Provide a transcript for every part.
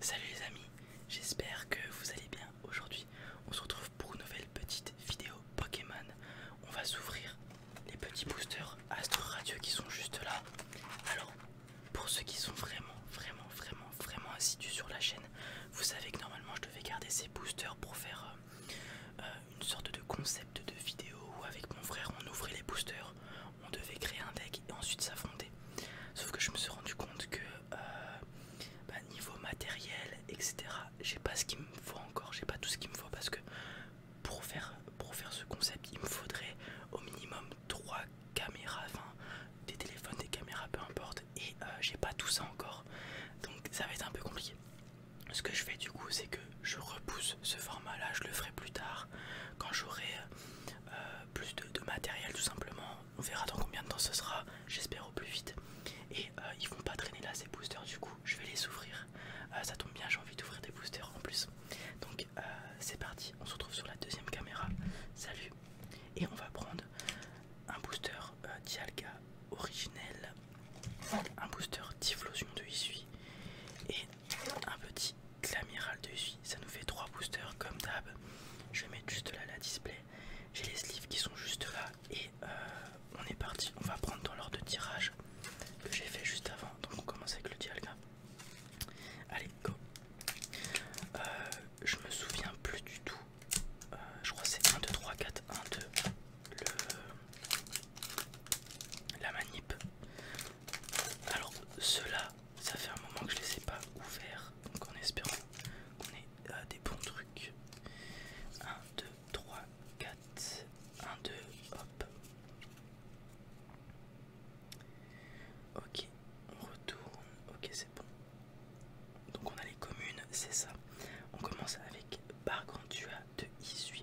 Salut les amis, j'espère que vous allez bien. Aujourd'hui, on se retrouve pour une nouvelle petite vidéo Pokémon. On va s'ouvrir les petits boosters Astro Radio qui sont juste là. Alors, pour ceux qui sont vraiment, vraiment, vraiment, vraiment assidus sur la chaîne, vous savez que normalement je devais garder ces boosters pour faire euh, euh, une sorte de concept de vidéo où avec mon frère on ouvrait les boosters, on devait créer un deck et ensuite s'affronter. Sauf que je me suis rendu compte que euh, bah, niveau matériel, etc., j'ai pas ce qu'il me faut encore, j'ai pas tout ce qu'il me faut parce que pour faire, pour faire ce concept, il me faudrait au minimum 3 caméras, enfin des téléphones, des caméras, peu importe, et euh, j'ai pas tout ça encore. Donc ça va être un peu compliqué. Ce que je fais du coup, c'est que je repousse ce format là, je le ferai plus tard quand j'aurai euh, plus de, matériel tout simplement. On verra dans combien de temps ce sera, j'espère au plus vite. Et euh, ils vont pas traîner là ces boosters du coup, je vais les ouvrir. Euh, ça tombe bien, j'ai envie d'ouvrir des boosters en plus. Donc euh, c'est parti, on se retrouve sur la deuxième caméra. Salut Et on va prendre un booster Dialga originel, un booster Divlosion de Issui et un petit de l'amiral de vie, ça nous fait 3 boosters comme d'hab. Je vais mettre juste là la display. J'ai les sleeves qui sont juste là et euh, on est parti. On va prendre dans l'ordre de tirage que j'ai fait juste avant. Donc on commence avec le dialga. Allez, go. Euh, je me souviens plus du tout. Euh, je crois que c'est 1, 2, 3, 4, 1, 2. La manip. Alors ceux-là, ça fait un moment que je ne les ai pas ouverts, donc en espérant qu'on ait euh, des bons trucs. 1, 2, 3, 4, 1, 2, hop. Ok, on retourne, ok c'est bon. Donc on a les communes, c'est ça. On commence avec Bargantua de Issui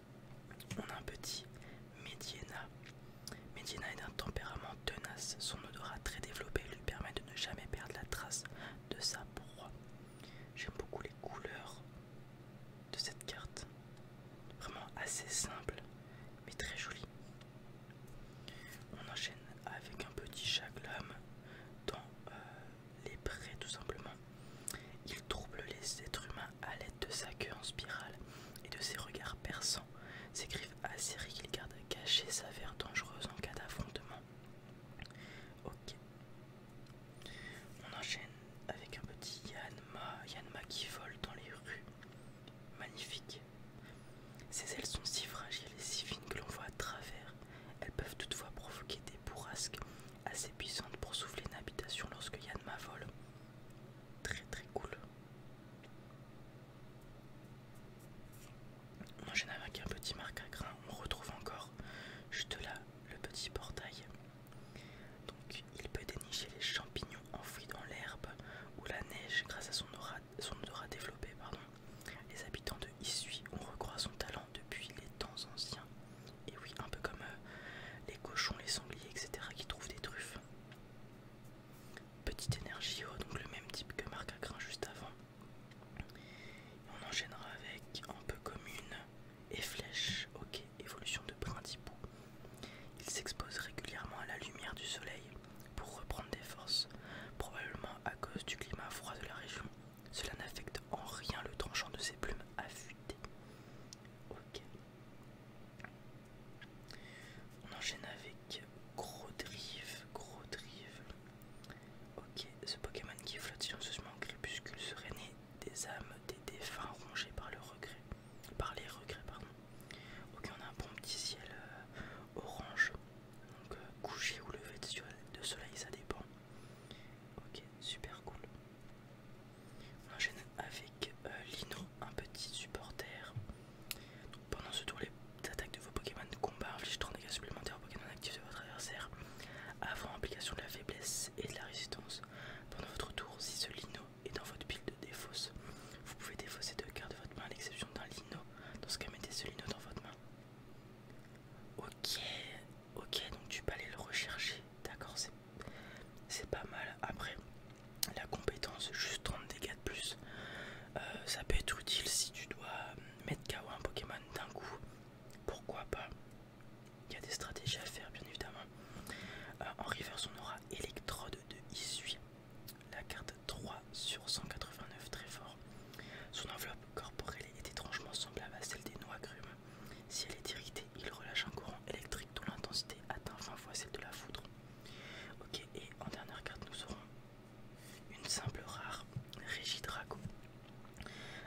On a un petit Médiena. Mediana est d'un tempérament tenace. Son odorat très développé lui permet de ne jamais perdre la trace de sa proie. J'aime beaucoup les couleurs de cette carte. Vraiment assez simple, mais très jolie. On enchaîne avec un petit chaglam dans euh, les prêts tout simplement. Il trouble les êtres humains à l'aide de sa queue en spirale et de ses regards perçants, ses griffes acérées qu'il garde cachées s'avèrent dangereuses en cas d'affrontement. Ok. On enchaîne avec un petit Yanma, Yanma qui vole dans les rues. Magnifique. Ses ailes sont si fragiles et si fines que l'on voit à travers. Elles peuvent toutefois provoquer des bourrasques assez puissante pour souffler une habitation lorsque ma vol Très très cool. On enchaîne avec un petit marc à grain. On retrouve encore juste là le petit portail. Donc il peut dénicher les champignons enfouis dans l'herbe ou la neige grâce à son aura, son développée. Pardon. Les habitants de Issui ont recroisé son talent depuis les temps anciens. Et oui, un peu comme euh, les cochons, les sangliers, etc. qui trouvent des truffes. Petite énergie, haute, oh, donc le même type que Marc Acrin juste avant. On enchaînera avec un peu commune et flèche. Ok, évolution de Brindibou. Il s'expose régulièrement à la lumière du soleil pour reprendre des forces, probablement à cause du climat froid de la région. Cela n'affecte en rien le tranchant de ses plumes affûtées. Ok. On enchaîne avec Gros grodrive Ok, ce Pokémon qui flotte silencieusement en crépuscule serait né des âmes des défunts rongés par le regret. Par les regrets, pardon. Ok, on a un bon petit ciel euh, orange. Donc euh, couché ou levé de soleil, ça dépend. Ok, super cool. On enchaîne avec euh, Lino, un petit supporter. pendant ce tour, les attaques de vos Pokémon de combat infligent 3 dégâts supplémentaires aux Pokémon actifs de votre adversaire avant application de la faiblesse et de la résistance. Pendant votre tour, si ce Lino est dans votre pile de défausse, vous pouvez défausser deux cartes de votre main à l'exception d'un Lino. Dans ce cas, mettez ce Lino dans votre main. Ok, ok, donc tu peux aller le rechercher, d'accord, c'est pas mal. Après, la compétence, juste 30 dégâts de plus, euh, ça peut être utile si tu dois euh, mettre KO un Pokémon d'un coup, pourquoi pas. Il y a des stratégies à faire, bien évidemment. Euh, en reverse, on aura électrode de Issui, la carte 3 sur 189, très fort. Son enveloppe corporelle est étrangement semblable à celle des noix grumes. Si elle est irritée, il relâche un courant électrique dont l'intensité atteint 20 fois celle de la foudre. Ok, et en dernière carte, nous aurons une simple rare Régidrago.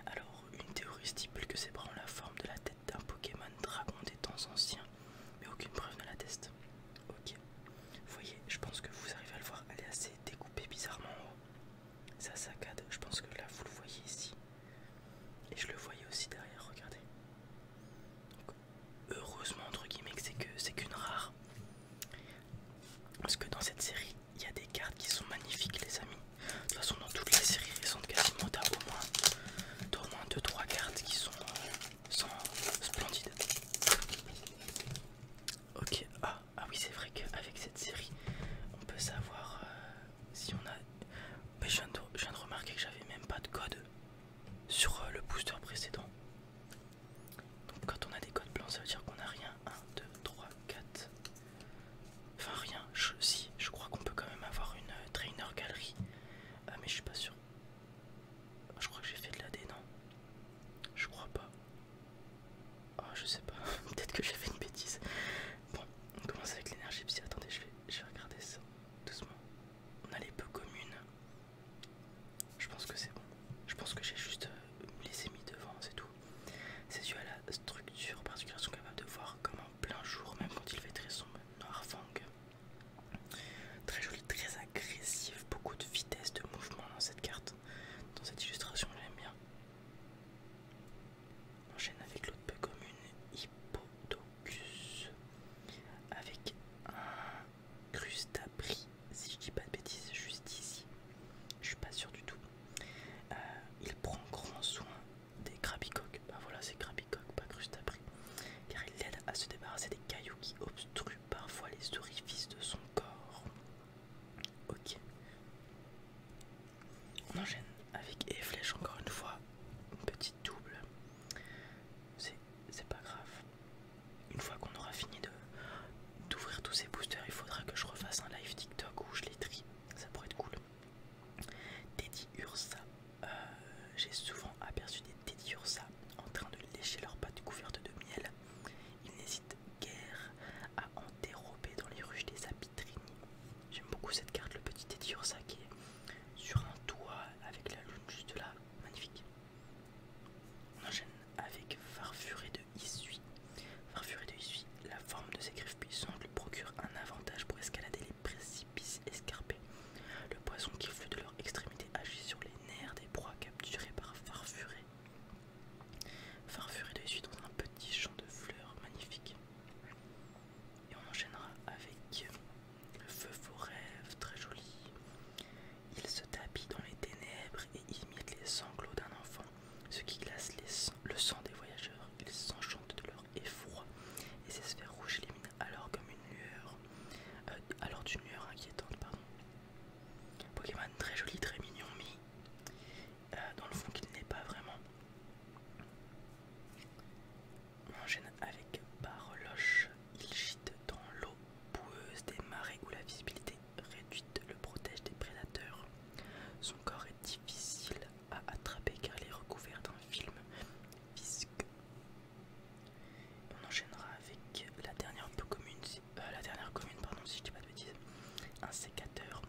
Alors, une théorie stipule que ses bras ont la forme de la tête d'un Pokémon dragon des temps anciens, mais aucune preuve ne l'atteste. Ok, voyez, je pense que vous arrivez à le voir, elle est assez découpée bizarrement en haut ça saccade, je pense que là vous le voyez ici. Et je le voyais aussi derrière, regardez. heureusement entre guillemets que c'est qu'une rare. Parce que dans cette série, il y a des cartes qui sont magnifiques les amis. De toute façon dans toutes les séries sont quasiment au moins au moins 2-3 cartes qui sont, euh, sont splendides. Ok, ah ah, oui, c'est vrai qu'avec cette série, on peut savoir euh, si on a... Ben, je viens de, remarquer que j'avais même pas de code sur euh, le booster précédent. Donc quand on a des codes blancs, ça veut dire qu'on n'a rien. 1, 2, 3, 4... Enfin rien. si, je crois qu'on peut quand même avoir une euh, trainer galerie. Ah mais je suis pas sûr. Je crois que j'ai fait de la non Je crois pas. Oh, je sais pas, peut-être que j'ai fait une bêtise. Bon, on commence avec l'énergie psy. Attendez, je vais, regarder ça doucement. On a les peu communes. Je pense que c'est bon. Je pense que j'ai juste euh, les émis devant, c'est tout. C'est dû à la structure particulière. Ils sont capables de voir comme en plein jour, même quand il fait très sombre. Noir fang. Très joli, très agressif. Beaucoup de vitesse de mouvement dans cette carte dans cette illustration, j'aime bien. On enchaîne avec l'autre peu commune, Hippodocus, avec un crustapri, si je dis pas de bêtises, juste ici. Je suis pas sûr du tout. Euh, il prend grand soin des crabicoques. Bah voilà, c'est crabicoques, pas crustabri. car il l'aide à se débarrasser des cailloux qui obstruent parfois les orifices de son corps. Ok. On enchaîne avec et flèche encore une fois. Une petite double. C'est pas grave. Une fois qu'on aura fini d'ouvrir tous ces boosters, il faudra que je refasse un live TikTok où je les trie. Ça pourrait être cool. Teddy Ursa. Euh, j'ai souvent aperçu des Teddy Ursa en train de lécher leurs pattes couvertes de miel. Ils n'hésitent guerre à dérober dans les ruches des Abitrini. J'aime beaucoup cette carte, le petit Etiursa qui est sur un toit avec la lune juste là, magnifique. On enchaîne avec Farfuré de Issui. Farfuré de Issui, la forme de ses griffes puissantes lui procure un avantage pour escalader les précipices escarpés. Le poisson qui flûte de leur extrémité agit sur les nerfs des proies capturées par Farfuré. Farfuré de suite dans un petit champ de fleurs magnifique. Et on enchaînera avec le Feu vos rêves, très joli. Il se tapit dans les ténèbres et imite les sanglots d'un enfant, ce qui glace le sang des voyageurs. Ils s'enchantent de leur effroi et ses sphères rouges éliminent alors comme une lueur, euh, alors d'une lueur inquiétante, pardon. Pokémon très joli, très mignon, mais euh, dans le fond qu'il n'est pas vraiment. On enchaîne avec Barloche. Il gîte dans l'eau boueuse des marais où la visibilité réduite le protège des prédateurs. Son corps est difficile à attraper car il est recouvert d'un film visqueux. On enchaînera avec la dernière peu commune, euh, la dernière commune, pardon, si je dis pas de un sécateur,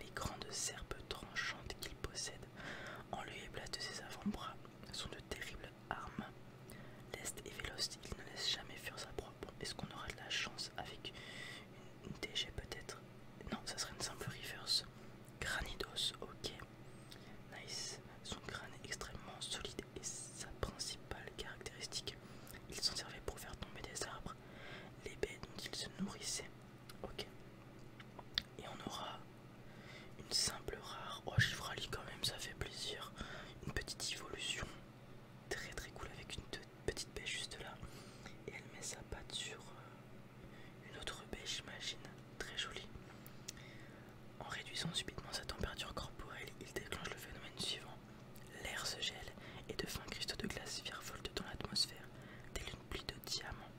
les grandes serpes tranchantes qu'il possède, en lui et place de ses avant-bras, sont de terribles armes. lest et véloce, il ne laisse jamais fuir sa propre Bon, est-ce qu'on aura de la chance avec une, une DG peut-être Non, ça serait une simple reverse. Granidos, ok. Nice. Son crâne est extrêmement solide et sa principale caractéristique. Il s'en servait pour faire tomber des arbres, les baies dont il se nourrissait. Ok. Et on aura une simple rare. Oh, ralli quand même, ça fait plaisir. Une petite évolution. Très très cool avec une petite baie juste là. Et elle met sa patte sur euh, une autre baie, j'imagine. Très jolie. En réduisant subitement sa température corporelle, il déclenche le phénomène suivant. L'air se gèle et de fins cristaux de glace virevoltent dans l'atmosphère, des une pluie de diamants.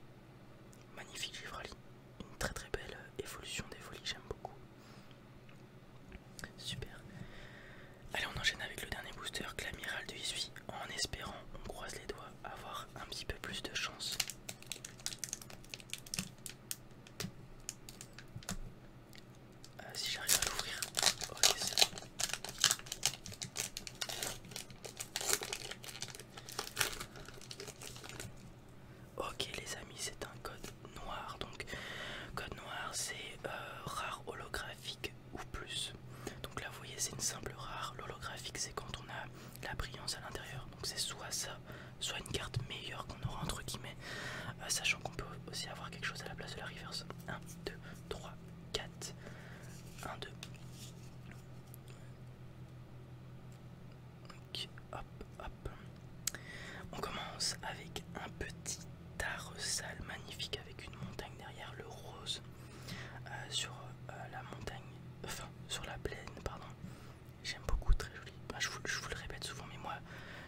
Magnifique Givrali, une très très belle euh, évolution des folies, j'aime beaucoup. Super. Allez, on enchaîne avec le dernier booster, l'amiral de Isui. En espérant, on croise les doigts, avoir un petit peu plus de chance. Euh, si j'arrive à l'ouvrir, ok les amis, c'est un code noir. Donc code noir c'est euh, rare holographique ou plus. Donc là vous voyez c'est une simple rare. L'holographique c'est quand on a la brillance à l'intérieur. Donc c'est soit ça, soit une carte meilleure qu'on aura entre guillemets, euh, sachant qu'on peut aussi avoir quelque chose à la place de la reverse. 1, 2, 3, 4, 1, 2. hop, hop. On commence avec un petit taressal magnifique avec une montagne derrière le rose euh, sur euh, la montagne, enfin sur la plaine, pardon. J'aime beaucoup, très joli. Bah, je, vous, le répète souvent, mais moi,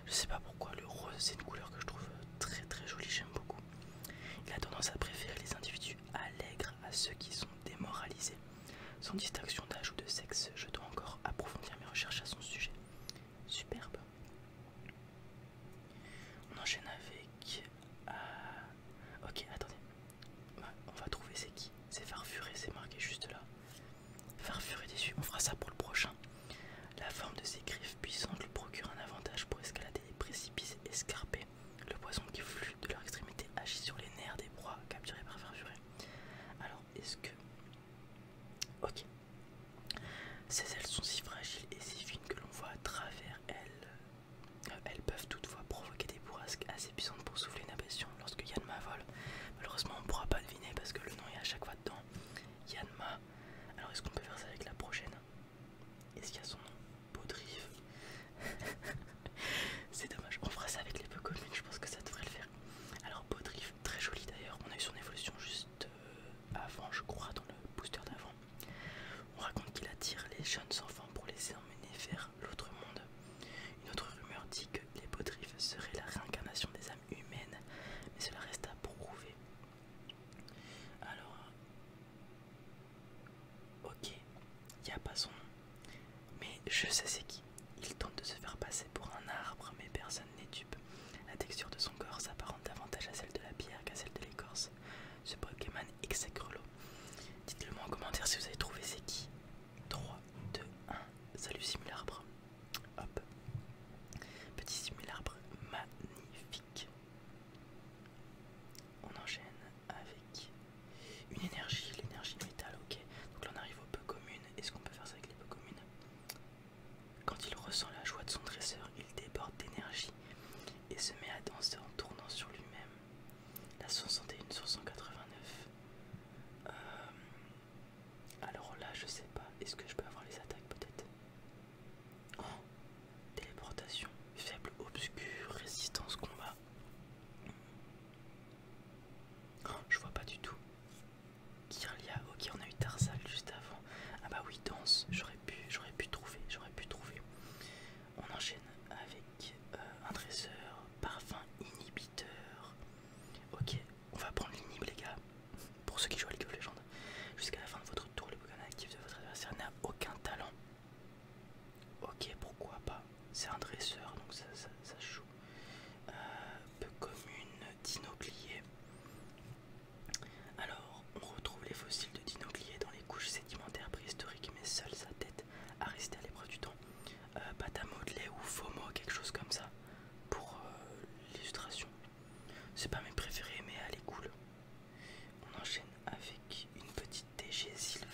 je sais pas pourquoi le rose, c'est une couleur que je trouve euh, très très jolie, j'aime beaucoup. Il a tendance à préférer les individus allègres à ceux qui sont démoralisés. Sans distinction d'âge ou de sexe, je dois encore approfondir mes recherches à son sujet. Superbe. On enchaîne avec... Euh, ok, attendez. Bah, on va trouver c'est qui. C'est farfuré, c'est marqué juste là. Farfuré dessus. on fera ça pour le prochain. La forme de ses griffes puissantes lui procure un avantage pour escalader les précipices escarpés. Le poison qui flûte de leur extrémité agit sur les nerfs des proies capturées par Farfuré. Alors, est-ce que. Ok. Ces ailes sont si fragiles et si fines que l'on voit à travers elles. Euh, elles peuvent toutefois provoquer des assez puissantes pour souffler une ablation lorsque Yanma vole. Malheureusement, on ne pourra pas deviner parce que le nom est à chaque fois dedans. Yanma. Alors, est-ce qu'on peut faire ça avec la prochaine Est-ce qu'il y a son nom Baudrive C'est dommage. On fera ça avec les peu communes, je pense que ça devrait le faire. Alors, Baudrive, très joli d'ailleurs. On a eu son évolution juste euh, avant, je crois, dans le booster d'avant. On raconte qu'il attire les jeunes enfants pour les emmener vers l'autre monde. Une autre rumeur dit que les serait seraient la réincarnation des âmes humaines, mais cela reste à prouver. Alors, ok, il a pas son nom, mais je sais c'est qui. Il tente de se faire passer pour un arbre, mais personne n'est dupe. La texture de son corps s'apparente davantage à celle de la pierre qu'à celle de l'écorce. Ce Pokémon exécre l'eau. Dites-le moi en commentaire si vous avez trouvé c'est qui. 3, 2, 1. Salut simularbre. Hop. Petit simularbre magnifique. On enchaîne avec une énergie, l'énergie métal, ok. Donc là on arrive au peu communes. Est-ce qu'on peut faire ça avec les peu communes Quand il ressent la joie de son dresseur, il déborde d'énergie et se met à danser en tournant sur lui-même la 61 sur 189. alors là, je sais pas. Est-ce que je peux avoir les attaques peut-être Oh Téléportation, faible, obscure, résistance, combat. Oh, je vois pas du tout. Kirlia, ok, on a eu Tarsal juste avant. Ah bah oui, danse, j'aurais pu, j'aurais pu trouver, j'aurais pu trouver. On enchaîne avec euh, un dresseur, parfum inhibiteur. Ok, on va prendre l'inhib les gars. Pour ceux qui jouent à League of Legends, jusqu'à la fin de votre tour, le Pokémon actif de votre adversaire n'a aucun talent. Ok, pourquoi pas C'est un dresseur, donc ça, ça, joue. Euh, peu commune, dinoclier. Alors, on retrouve les fossiles de dinoclier dans couches sédimentaires préhistoriques, mais seule sa tête a resté à l'épreuve du temps. Euh, pâte à modeler ou FOMO, quelque chose comme ça, pour euh, l'illustration. C'est pas mes préférés, mais elle est cool. On enchaîne avec une petite DG Silver,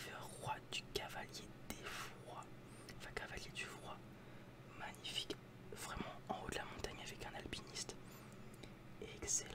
roi du cavalier des froids. Enfin, cavalier du froid. Magnifique, vraiment en haut de la montagne avec un alpiniste. Excellent.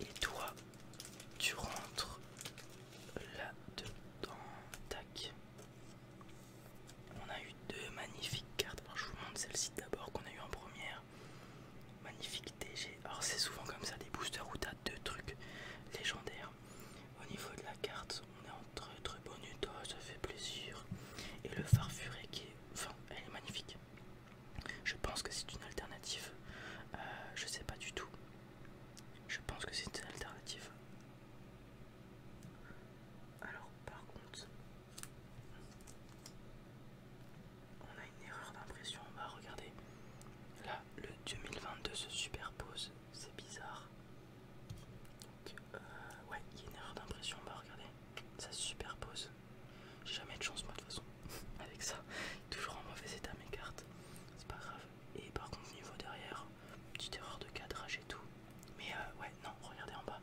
Et toi, tu rentres là-dedans. Tac. On a eu deux magnifiques cartes. Alors, je vous montre celle-ci d'abord qu'on a eu en première. Magnifique DG. Alors c'est souvent comme ça des boosters où t'as deux trucs légendaires. Au niveau de la carte, on est entre très bonus. bonne toi, ça fait plaisir. Et le farfuré qui est... Enfin, elle est magnifique. Je pense que c'est une alternative. Euh, je sais pas du tout. Je pense que c'est une alternative. Alors, par contre, on a une erreur d'impression. On va regarder. Là, le 2022 se superpose. C'est bizarre. Donc, euh, ouais, il y a une erreur d'impression. On va regarder. Ça se superpose. J'ai jamais de chance, moi, de toute façon. avec ça. Toujours en mauvais état mes cartes, c'est pas grave. Et par contre, niveau derrière, petite erreur de cadrage et tout. Mais euh, ouais, non, regardez en bas.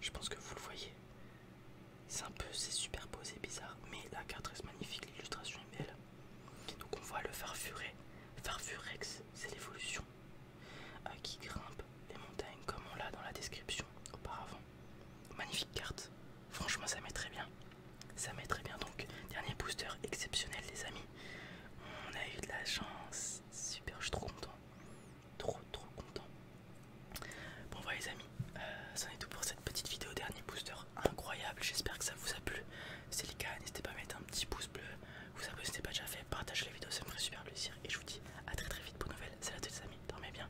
Je pense que vous le voyez. C'est un peu, c'est superposé, bizarre. Mais la carte reste magnifique, l'illustration est belle. Donc on voit le farfuret. Farfurex, c'est l'évolution à euh, qui grimpe les montagnes comme on l'a dans la description auparavant. Magnifique carte. Franchement, ça met très bien. Ça met très bien. Donc, dernier booster exceptionnel, les amis. On a eu de la chance. Super, je suis trop content. Trop, trop content. Bon, voilà, les amis. Euh, c'en est tout pour cette petite vidéo. Dernier booster incroyable. J'espère que ça vous a plu. C'est le cas. N'hésitez pas à mettre un petit pouce bleu. Vous abonnez si ce pas déjà fait. Partagez la vidéo, ça me ferait super plaisir. Et je vous dis à très, très vite pour nouvelle Salut à tous, les amis. Dormez bien.